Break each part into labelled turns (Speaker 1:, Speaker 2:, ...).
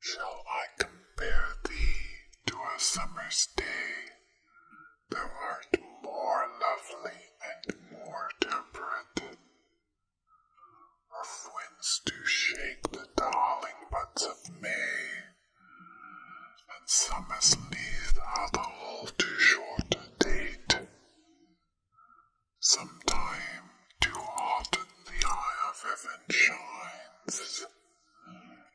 Speaker 1: Shall I compare thee to a summer's day? Thou art more lovely and more temperate. Of winds do shake the darling buds of May, and some as lithe alcohol too short a date, sometime too hot the eye of heaven shines,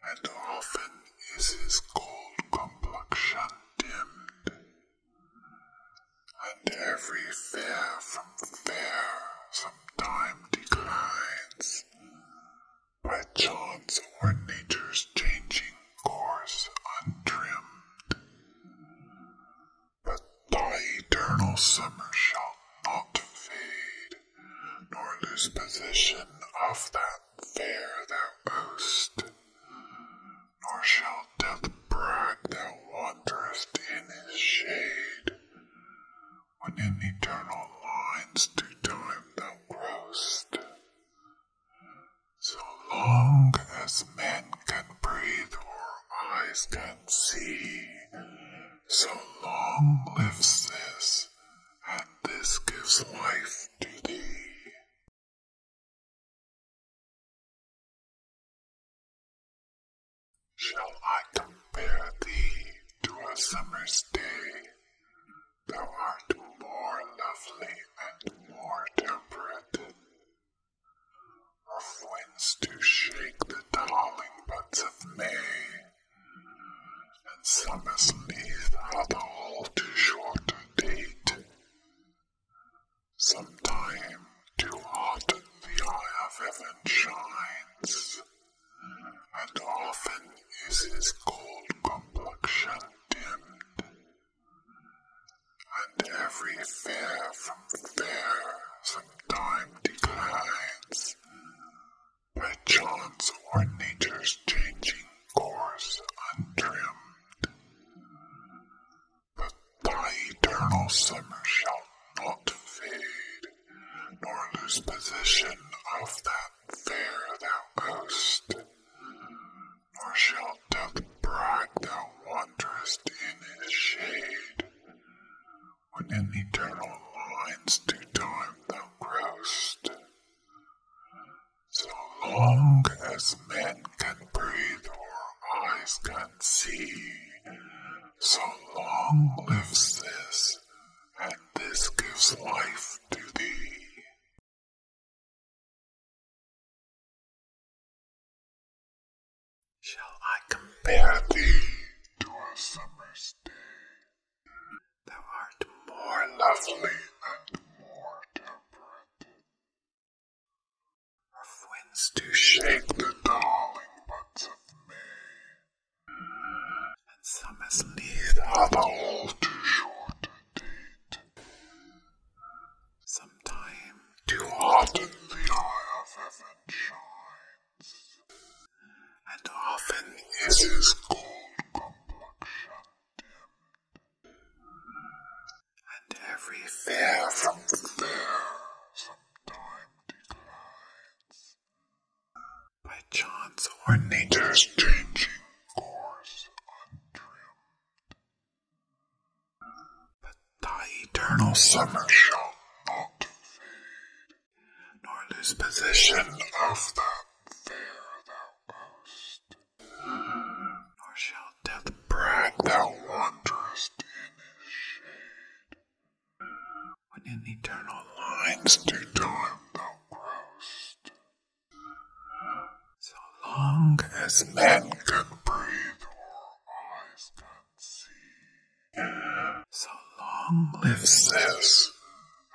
Speaker 1: and often is his cold complexion dimmed, and every fair from fair some time declines, by chance or nature's changing course untrimmed. But thy eternal summer shall not fade, nor lose possession of that fair thou owest, nor shall death brag thou wanderest in his shade within eternal lines to time thou growest. So long as men can breathe or eyes can see, so long lives this, and this gives life to thee. Shall I compare thee to a summer's day. Thou art more lovely and more temperate, of winds to shake the darling buds of May, and summer's leaves hath all too short a date. Sometime to autumn the eye of heaven shines and often is his cold complexion dimmed, and every fair from fair sometime declines, by chance or nature's changing course untrimmed. But thy eternal summer shall
Speaker 2: not fade, nor lose possession of that fair thou goest, nor shalt
Speaker 1: thou brag thou wanderest in his shade, when in eternal lines to time thou growest. So long as men can breathe or eyes can see, so long lives this and this gives
Speaker 3: life to thee. Shall I compare thee to a summer's day?
Speaker 2: Thou art more lovely and more temperate. Of winds do shake the darling buds of May, and summer's has lived all too short a date. Sometimes too hot the eye of heaven shines, and often is his cold complexion dimmed, and every fair from fair sometimes declines. By chance or nature's changing course undreamed. But thy eternal summer shall not fade, nor lose possession of that fair thou owest, nor shall death brag thou wanderest in his shade. When in eternal lines do time thou growest, so long as men can breathe or eyes can see, so long lives this,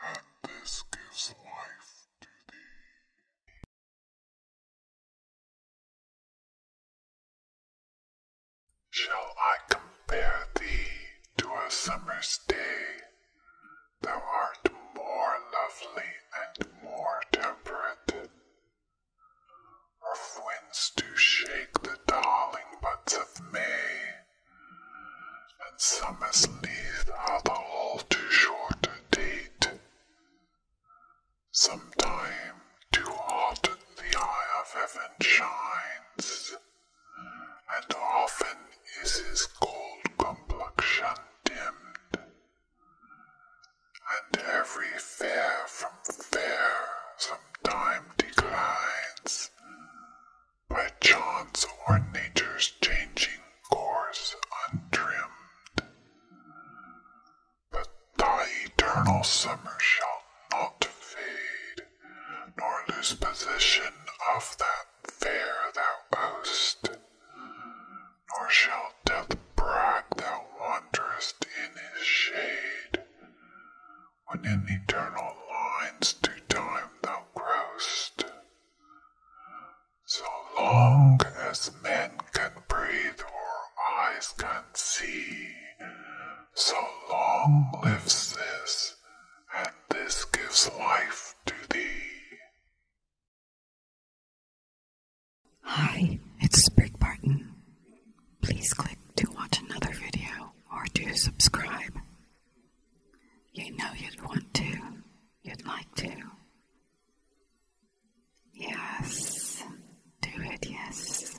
Speaker 2: and this
Speaker 3: gives life to thee. Shall I compare thee to a summer's day?
Speaker 1: Thou art more lovely and more temperate. Of winds do shake the darling buds of May, and summers leave hath all too short a date. Sometime too hot the eye of heaven shines, and often is his cold
Speaker 3: complexion dimmed, and every fair from fair sometime
Speaker 1: declines, by chance or nature's changing course untrimmed. But thy eternal summer shall not fade, nor lose possession of that fair thou host, nor shall death brag thou wanderest in his shade, when in eternal lines to time thou growest. So long as men can breathe or eyes can see. So
Speaker 3: long lives this, and this gives life to thee. Hi, it's Sprig Barton. Please click to watch another video or to subscribe. You know you'd want to, you'd like to. Yes, do it, yes.